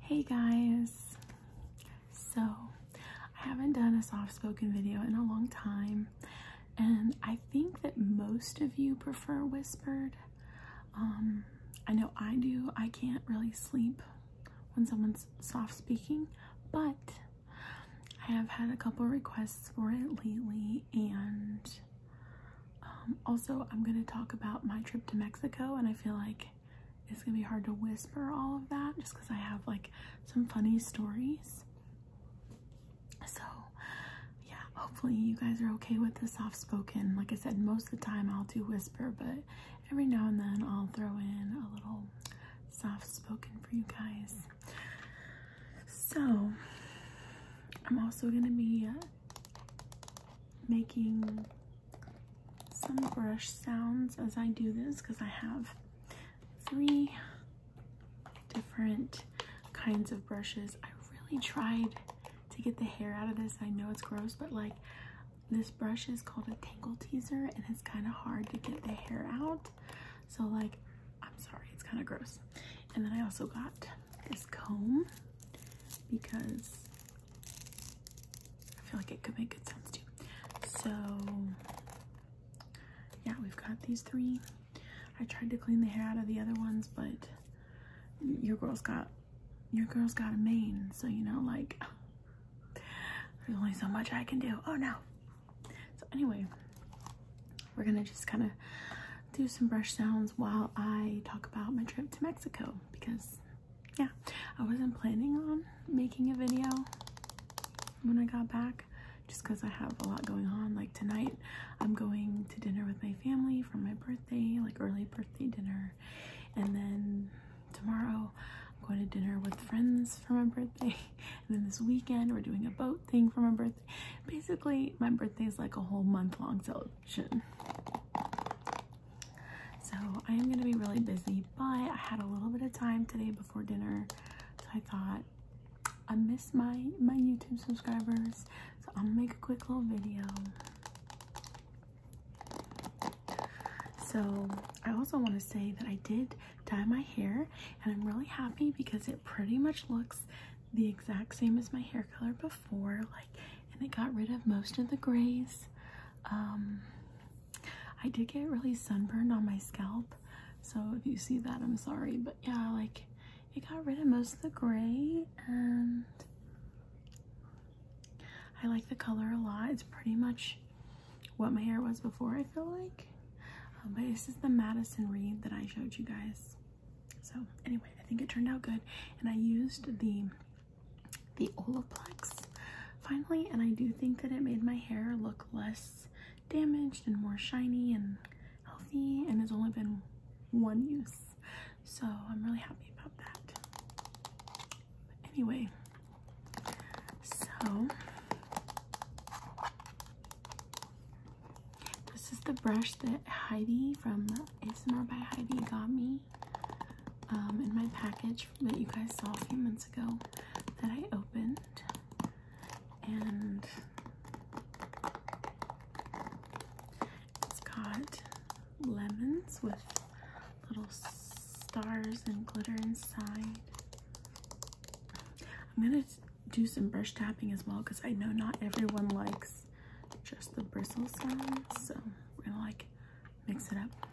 Hey guys, so I haven't done a soft spoken video in a long time, and I think that most of you prefer whispered. Um, I know I do, I can't really sleep when someone's soft speaking, but I have had a couple requests for it lately, and um, also, I'm going to talk about my trip to Mexico, and I feel like it's going to be hard to whisper all of that just because I have like some funny stories. So, yeah, hopefully, you guys are okay with the soft spoken. Like I said, most of the time I'll do whisper, but every now and then I'll throw in a little soft spoken for you guys. So, I'm also going to be uh, making some brush sounds as I do this because I have three different kinds of brushes. I really tried to get the hair out of this. I know it's gross, but like this brush is called a tangle teaser and it's kind of hard to get the hair out. So like, I'm sorry, it's kind of gross. And then I also got this comb because I feel like it could make good sounds too. So yeah, we've got these three. I tried to clean the hair out of the other ones, but your girl's got your girl's got a mane, so you know, like there's only so much I can do. Oh no. So anyway, we're gonna just kind of do some brush sounds while I talk about my trip to Mexico because yeah, I wasn't planning on making a video when I got back just because I have a lot going on. Like tonight, I'm going to dinner with my family for my birthday, like early birthday dinner. And then tomorrow, I'm going to dinner with friends for my birthday. And then this weekend, we're doing a boat thing for my birthday. Basically, my birthday is like a whole month long So. So I am going to be really busy, but I had a little bit of time today before dinner, so I thought I miss my my YouTube subscribers, so I'm gonna make a quick little video. So I also want to say that I did dye my hair, and I'm really happy because it pretty much looks the exact same as my hair color before. Like and it got rid of most of the grays. Um, I did get really sunburned on my scalp, so if you see that, I'm sorry, but yeah, like it got rid of most of the gray, and I like the color a lot. It's pretty much what my hair was before, I feel like. Um, but this is the Madison Reed that I showed you guys. So anyway, I think it turned out good. And I used the the Olaplex finally, and I do think that it made my hair look less damaged and more shiny and healthy, and it's only been one use, so I'm really happy about that. Anyway, so this is the brush that Heidi from ASMR by Heidi got me. Um, in my package that you guys saw a few months ago that I opened. And it's got lemons with little stars and glitter inside. I'm gonna do some brush tapping as well because I know not everyone likes just the bristle side. So we're gonna like mix it up.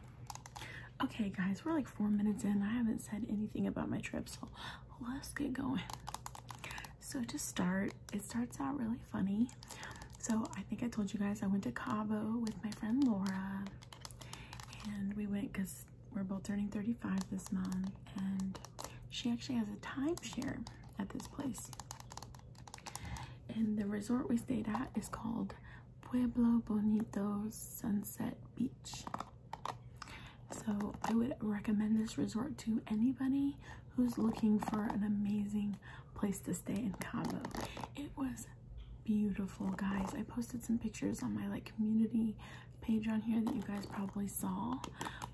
Okay, guys, we're like four minutes in. I haven't said anything about my trip, so let's get going. So to start, it starts out really funny. So I think I told you guys I went to Cabo with my friend Laura, and we went because we're both turning 35 this month, and she actually has a timeshare at this place. And the resort we stayed at is called Pueblo Bonito Sunset Beach. So I would recommend this resort to anybody who's looking for an amazing place to stay in Cabo. It was beautiful, guys. I posted some pictures on my like community page on here that you guys probably saw,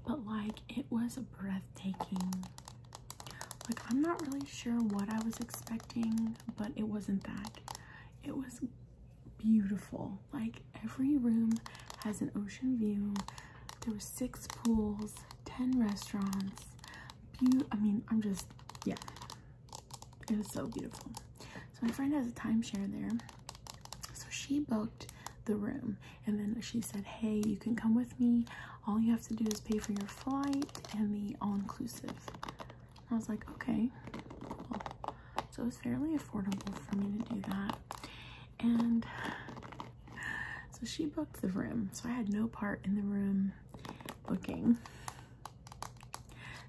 but like it was breathtaking. Like, I'm not really sure what I was expecting, but it wasn't that. It was beautiful. Like, every room has an ocean view. There were six pools, 10 restaurants. Be I mean, I'm just, yeah. It was so beautiful. So my friend has a timeshare there. So she booked the room and then she said, hey, you can come with me all you have to do is pay for your flight and the all-inclusive i was like okay so it was fairly affordable for me to do that and so she booked the room so i had no part in the room booking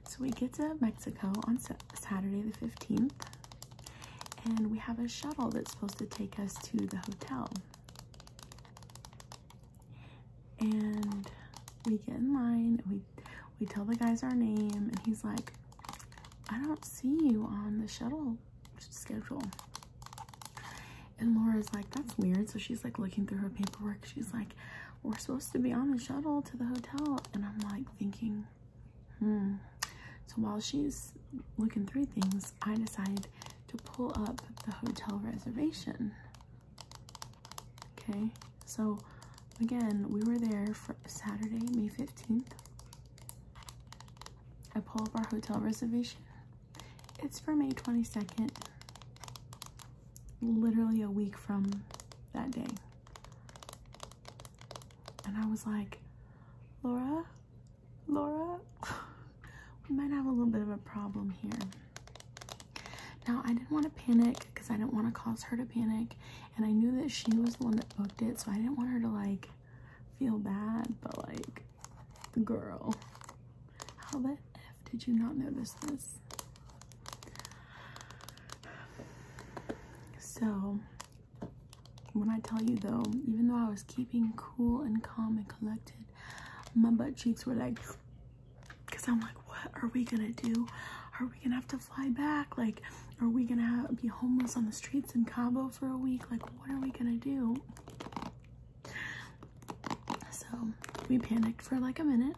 so we get to mexico on saturday the 15th and we have a shuttle that's supposed to take us to the hotel and we get in line and we we tell the guys our name and he's like i don't see you on the shuttle schedule and laura's like that's weird so she's like looking through her paperwork she's like we're supposed to be on the shuttle to the hotel and i'm like thinking hmm so while she's looking through things i decide to pull up the hotel reservation Okay, so again, we were there for Saturday, May 15th. I pull up our hotel reservation. It's for May 22nd, literally a week from that day. And I was like, Laura, Laura. we might have a little bit of a problem here. Now, I didn't want to panic because I didn't want to cause her to panic. And I knew that she was the one that booked it. So I didn't want her to like feel bad. But like, the girl, how the F did you not notice this? So when I tell you though, even though I was keeping cool and calm and collected, my butt cheeks were like because I'm like, what are we going to do? Are we going to have to fly back? Like, are we going to be homeless on the streets in Cabo for a week? Like, what are we going to do? So we panicked for like a minute.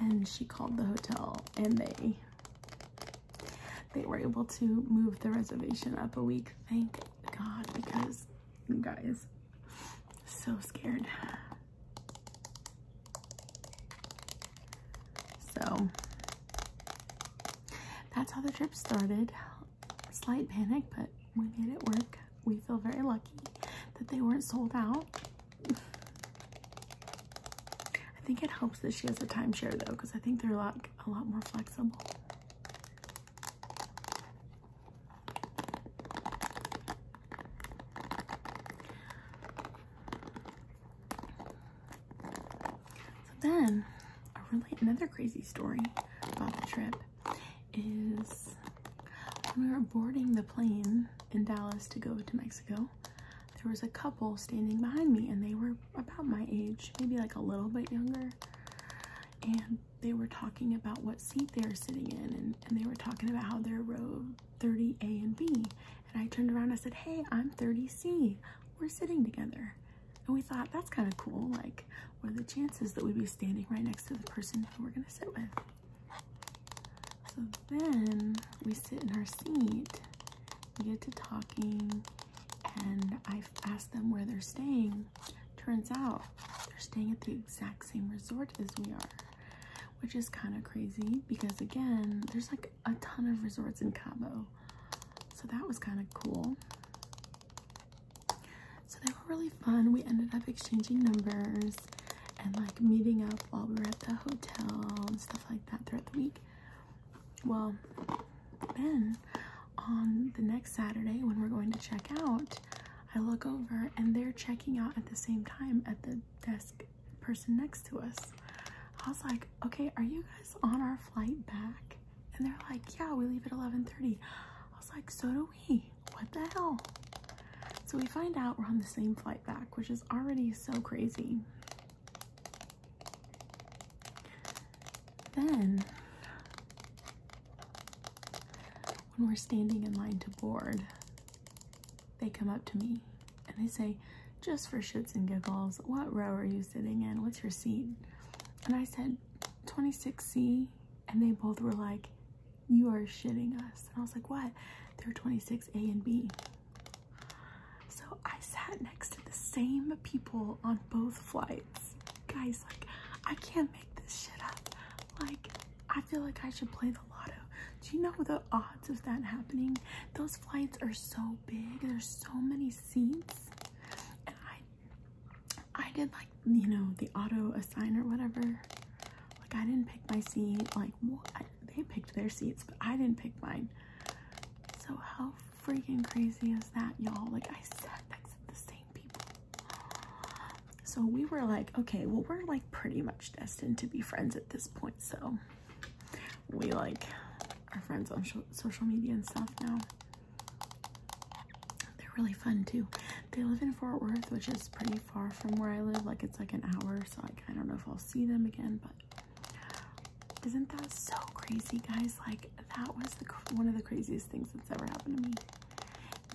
And then she called the hotel and they they were able to move the reservation up a week. Thank God, because guys, so scared. So that's how the trip started. Slight panic, but we made it work. We feel very lucky that they weren't sold out. I think it helps that she has a timeshare though, because I think they're a a lot more flexible. So then, a really another crazy story about the trip is when we were boarding the plane in Dallas to go to Mexico, there was a couple standing behind me and they were about my age, maybe like a little bit younger and they were talking about what seat they were sitting in and, and they were talking about how they're row 30A and B. And I turned around I said, Hey, I'm 30C. We're sitting together. And we thought that's kind of cool. Like, what are the chances that we'd be standing right next to the person who we're going to sit with? So then we sit in our seat, we get to talking, and i ask them where they're staying Turns out they're staying at the exact same resort as we are, which is kind of crazy because, again, there's like a ton of resorts in Cabo. So that was kind of cool. So they were really fun. We ended up exchanging numbers and like meeting up while we were at the hotel and stuff like that throughout the week. Well, then on the next Saturday when we're going to check out, I look over and they're checking out at the same time at the desk person next to us. I was like, okay, are you guys on our flight back? And they're like, yeah, we leave at 11.30. I was like, so do we. What the hell? So we find out we're on the same flight back, which is already so crazy. Then when we're standing in line to board, they come up to me and they say, just for shits and giggles, what row are you sitting in? What's your seat? And I said, 26C. And they both were like, you are shitting us. And I was like, what? They're 26A and B. So I sat next to the same people on both flights guys, like, I can't make this shit up. Like, I feel like I should play the lotto. Do you know the odds of that happening? Those flights are so big. There's so many seats. And I, I did like, you know, the auto assign or whatever. Like, I didn't pick my seat. Like, well, they picked their seats, but I didn't pick mine. So how freaking crazy is that, y'all? Like, I said, that's the same people. So we were like, okay, well, we're like pretty much destined to be friends at this point. So we like are friends on social media and stuff now. They're really fun too. They live in Fort Worth, which is pretty far from where I live. Like it's like an hour. So like, I don't know if I'll see them again, but isn't that so crazy guys? Like that was the, one of the craziest things that's ever happened to me.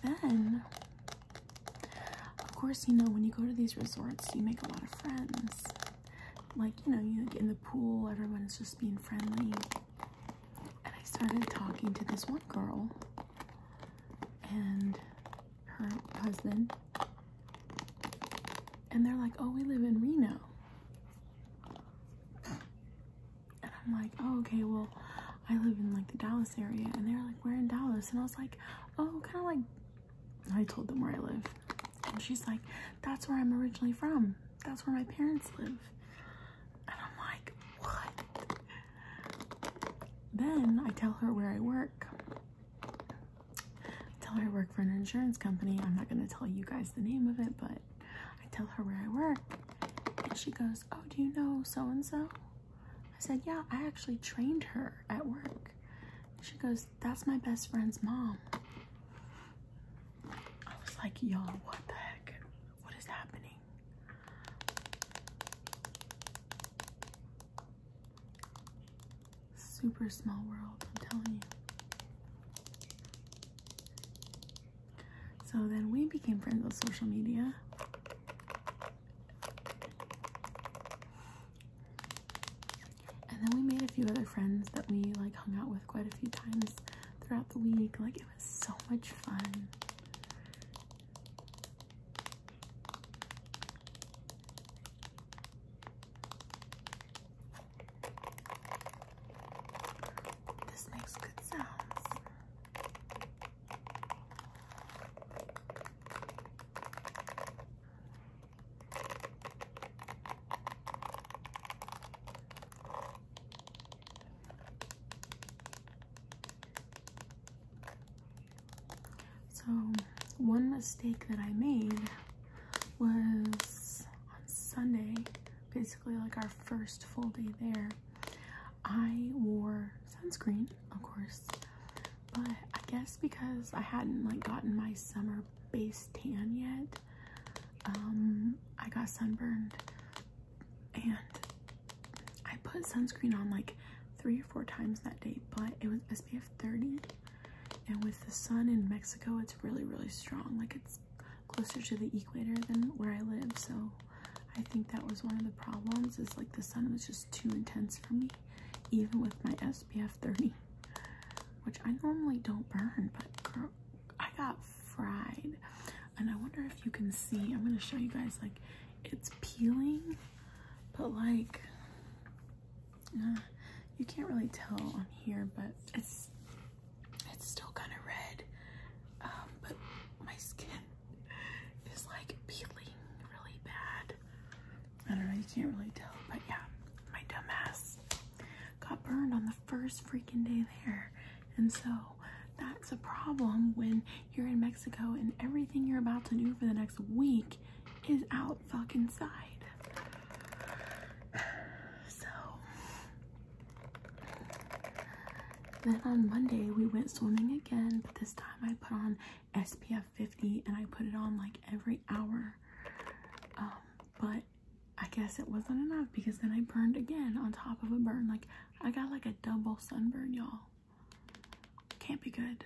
Then, of course, you know, when you go to these resorts, you make a lot of friends. Like, you know, you get in the pool, Everyone's just being friendly. And I started talking to this one girl and her husband. And they're like, oh, we live in Reno and I'm like, oh, okay, well, I live in like the Dallas area, and they're like, we're in Dallas, and I was like, oh, kind of like, I told them where I live, and she's like, that's where I'm originally from, that's where my parents live, and I'm like, what? Then I tell her where I work. tell her I work for an insurance company. I'm not gonna tell you guys the name of it, but I tell her where I work, and she goes, Oh, do you know so and so? I said, Yeah, I actually trained her at work. She goes, That's my best friend's mom. I was like, Yo, what the heck? What is happening? Super small world, I'm telling you. So then we became friends with social media. And then we made a few other friends that we like hung out with quite a few times throughout the week. Like it was so much fun. This makes good sounds. So, one mistake that I made was on Sunday, basically like our first full day there. I wore sunscreen, of course, but I guess because I hadn't like gotten my summer base tan yet, um, I got sunburned and I put sunscreen on like three or four times that day, but it was SPF 30 and with the sun in Mexico, it's really, really strong. Like it's closer to the equator than where I live, so I think that was one of the problems is like the sun was just too intense for me, even with my SPF 30, which I normally don't burn, but girl, I got fried. And I wonder if you can see, I'm going to show you guys like it's peeling, but like uh, you can't really tell on here, but it's, it's still kind of red. Um, but my skin is like peeling really bad. I don't know, you can't really tell, but yeah, my dumbass got burned on the first freaking day there. And so that's a problem when you're in Mexico and everything you're about to do for the next week is out fucking side. So then on Monday, we went swimming again, but this time I put on SPF 50 and I put it on like every hour. Um, but I guess it wasn't enough because then I burned again on top of a burn. Like I got like a double sunburn, y'all. Can't be good.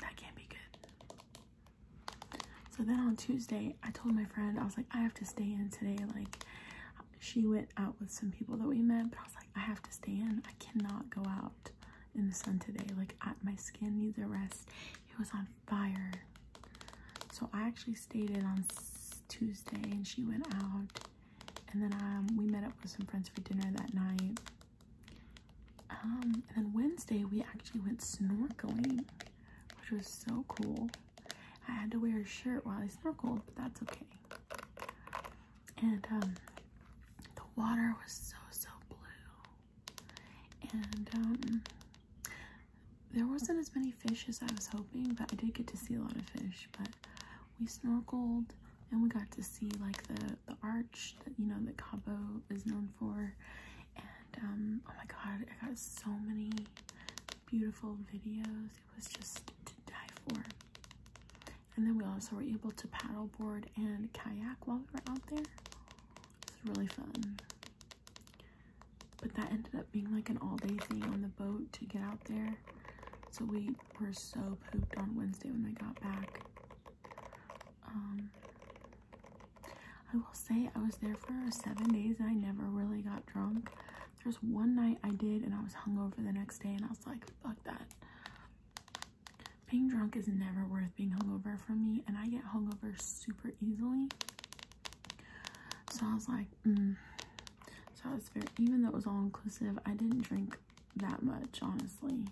That can't be good. So then on Tuesday, I told my friend, I was like, I have to stay in today. Like she went out with some people that we met, but I was like, I have to stay in. I cannot go out in the sun today. Like, my skin needs a rest. It was on fire. So I actually stayed in on Tuesday and she went out. And then um, we met up with some friends for dinner that night. Um, and then Wednesday, we actually went snorkeling, which was so cool. I had to wear a shirt while I snorkeled, but that's okay and um, the water was so so blue, and um, there wasn't as many fish as I was hoping, but I did get to see a lot of fish. But we snorkeled and we got to see like the the arch that you know the Cabo is known for, and um, oh my god, I got so many beautiful videos. It was just to die for. And then we also were able to paddleboard and kayak while we were out there. It was really fun. But that ended up being like an all-day thing on the boat to get out there. So we were so pooped on Wednesday when we got back. Um, I will say I was there for seven days and I never really got drunk. There's one night I did and I was hungover the next day and I was like, fuck that. Being drunk is never worth being hungover from me, and I get hungover super easily. So I was like, mm. so I was very, even though it was all inclusive, I didn't drink that much, honestly.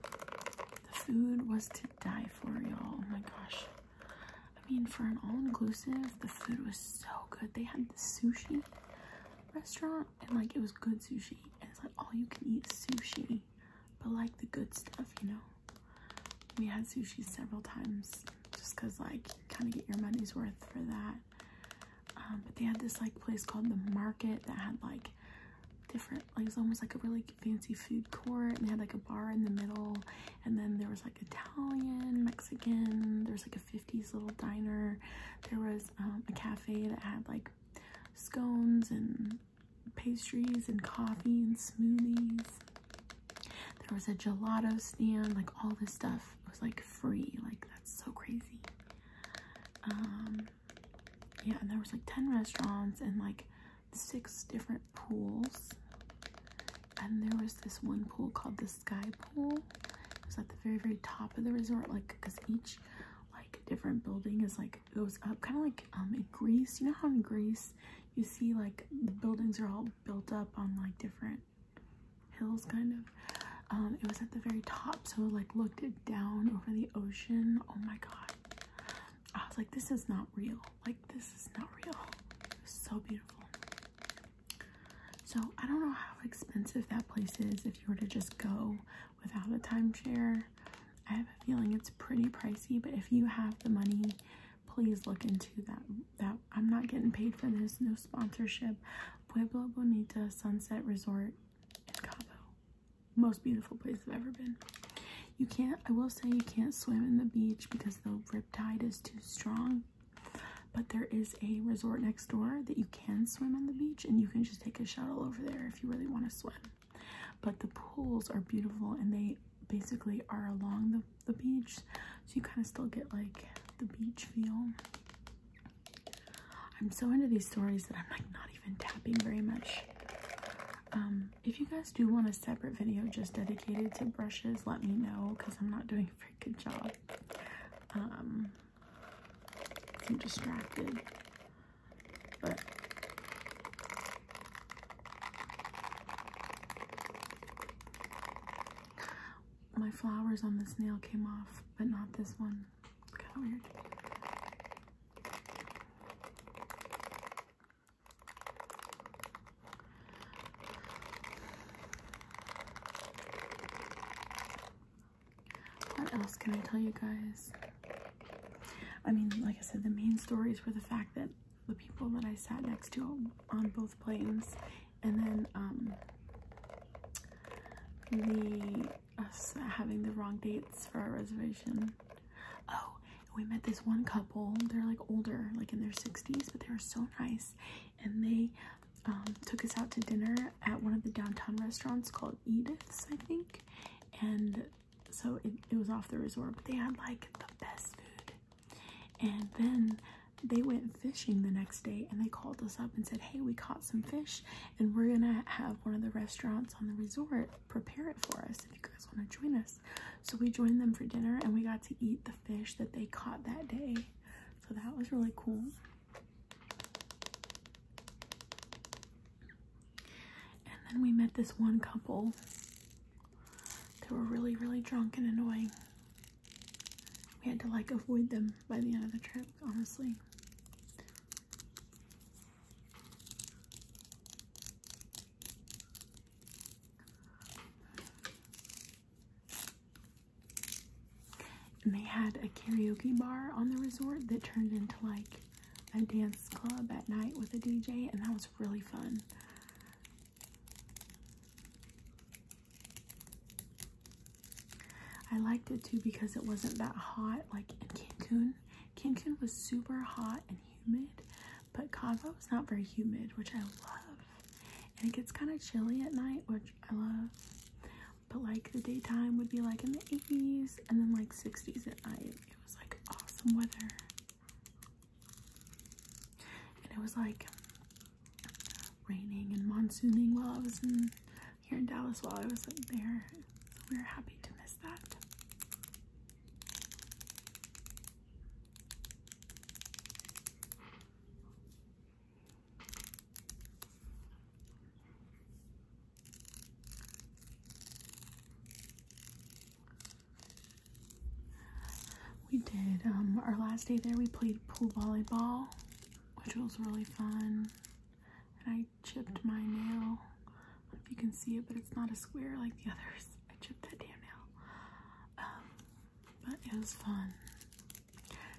The food was to die for, y'all. Oh my gosh. I mean, for an all inclusive, the food was so good. They had the sushi restaurant and like it was good sushi and it's like all you can eat sushi but like the good stuff you know we had sushi several times just because like kind of get your money's worth for that um, but they had this like place called the market that had like different like it was almost like a really fancy food court and they had like a bar in the middle and then there was like italian mexican there's like 50s little diner. There was um, a cafe that had like scones and pastries and coffee and smoothies. There was a gelato stand, like all this stuff was like free. Like that's so crazy. Um, yeah, and there was like 10 restaurants and like six different pools. And there was this one pool called the sky pool. It was at the very, very top of the resort, like because each like different building is like goes up, kind of like um in Greece. You know how in Greece you see like the buildings are all built up on like different hills, kind of. Um, it was at the very top, so like looked down over the ocean. Oh my god. I was like, this is not real. Like, this is not real. so beautiful. So I don't know how expensive that place is if you were to just go without a timeshare. I have a feeling it's pretty pricey, but if you have the money, please look into that. That I'm not getting paid for this, no sponsorship. Pueblo Bonita Sunset Resort in Cabo. Most beautiful place I've ever been. You can't, I will say you can't swim in the beach because the rip tide is too strong. But there is a resort next door that you can swim on the beach and you can just take a shuttle over there if you really want to swim. But the pools are beautiful and they basically are along the, the beach. So you kind of still get like the beach feel. I'm so into these stories that I'm like not even tapping very much. Um, if you guys do want a separate video just dedicated to brushes, let me know because I'm not doing a freaking job. Um, I'm distracted. But my flowers on this nail came off, but not this one. Kind of weird. What else can I tell you guys? I mean, like I said, the main stories were the fact that the people that I sat next to on both planes, and then um, the us having the wrong dates for our reservation. Oh, we met this one couple. They're like older, like in their 60s, but they were so nice and they um, took us out to dinner at one of the downtown restaurants called Edith's, I think. And so it was off the resort, but they had like the best food. And then they went fishing the next day and they called us up and said, Hey, we caught some fish and we're gonna have one of the restaurants on the resort prepare it for us if you guys want to join us. So we joined them for dinner and we got to eat the fish that they caught that day. So that was really cool. And then we met this one couple. They were really, really drunk and annoying. We had to like avoid them by the end of the trip, honestly. And they had a karaoke bar on the resort that turned into like a dance club at night with a DJ, and that was really fun. I liked it too because it wasn't that hot like in Cancun. Cancun was super hot and humid, but Cabo is not very humid, which I love. And it gets kind of chilly at night, which I love but like the daytime would be like in the 80s and then like 60s at night it was like awesome weather and it was like raining and monsooning while I was here in Dallas while I was there so we were happy to miss that we did, um, our last day there we played pool volleyball, which was really fun. And I chipped my nail. if you can see it, but it's not a square like the others. I chipped that damn nail. Um, but it was fun.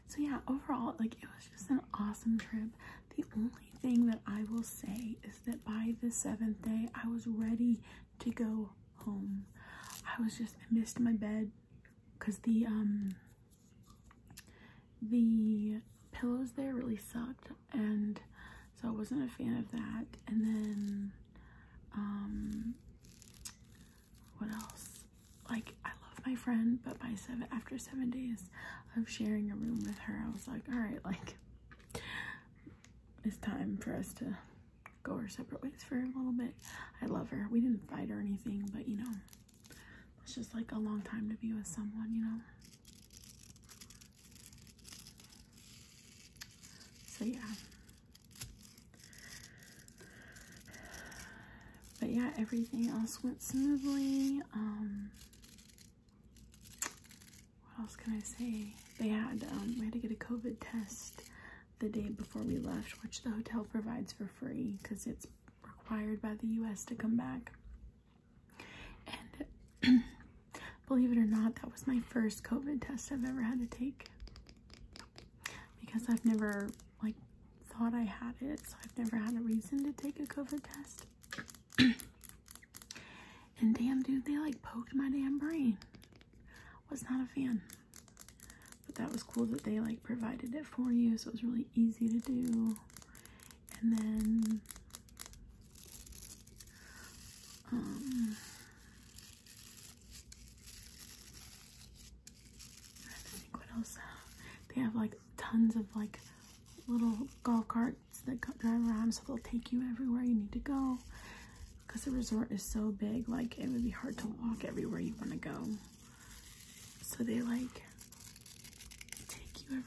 So yeah, overall, like it was just an awesome trip. The only thing that I will say is that by the seventh day, I was ready to go home. I was just, missed my bed because the, um, the pillows there really sucked and so I wasn't a fan of that. And then, um, what else? Like, I love my friend, but by seven after seven days of sharing a room with her, I was like, all right, like, it's time for us to go our separate ways for a little bit. I love her. We didn't fight or anything, but you know, it's just like a long time to be with someone, you know. So yeah. But yeah, everything else went smoothly. Um, what else can I say? They had, um, we had to get a COVID test the day before we left, which the hotel provides for free because it's required by the U.S. to come back. And believe it or not, that was my first COVID test I've ever had to take because I've never like thought I had it, so I've never had a reason to take a COVID test. and damn, dude, they like poked my damn brain. Was not a fan. But that was cool that they like provided it for you, so it was really easy to do. And then, um, they have like tons of like little golf carts that drive around so they'll take you everywhere you need to go because the resort is so big like it would be hard to walk everywhere you want to go so they like take you everywhere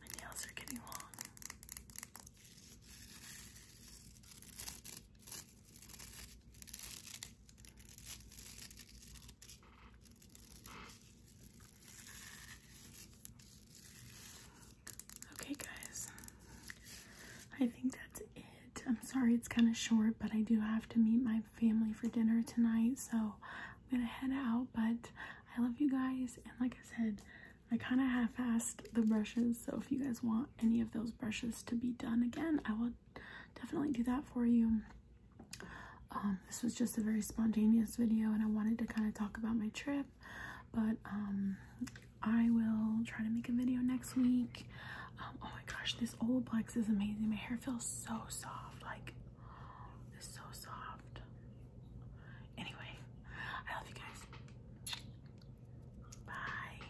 my nails are getting long. Okay, guys, I think that's it. I'm sorry it's kind of short, but I do have to meet my family for dinner tonight, so I'm gonna head out. But I love you guys, and like I said, I kind of half-assed the brushes, so if you guys want any of those brushes to be done again, I will definitely do that for you. Um, this was just a very spontaneous video and I wanted to kind of talk about my trip, but um, I will try to make a video next week. Um, oh my gosh, this old Olaplex is amazing. My hair feels so soft, like it's so soft. Anyway, I love you guys. Bye.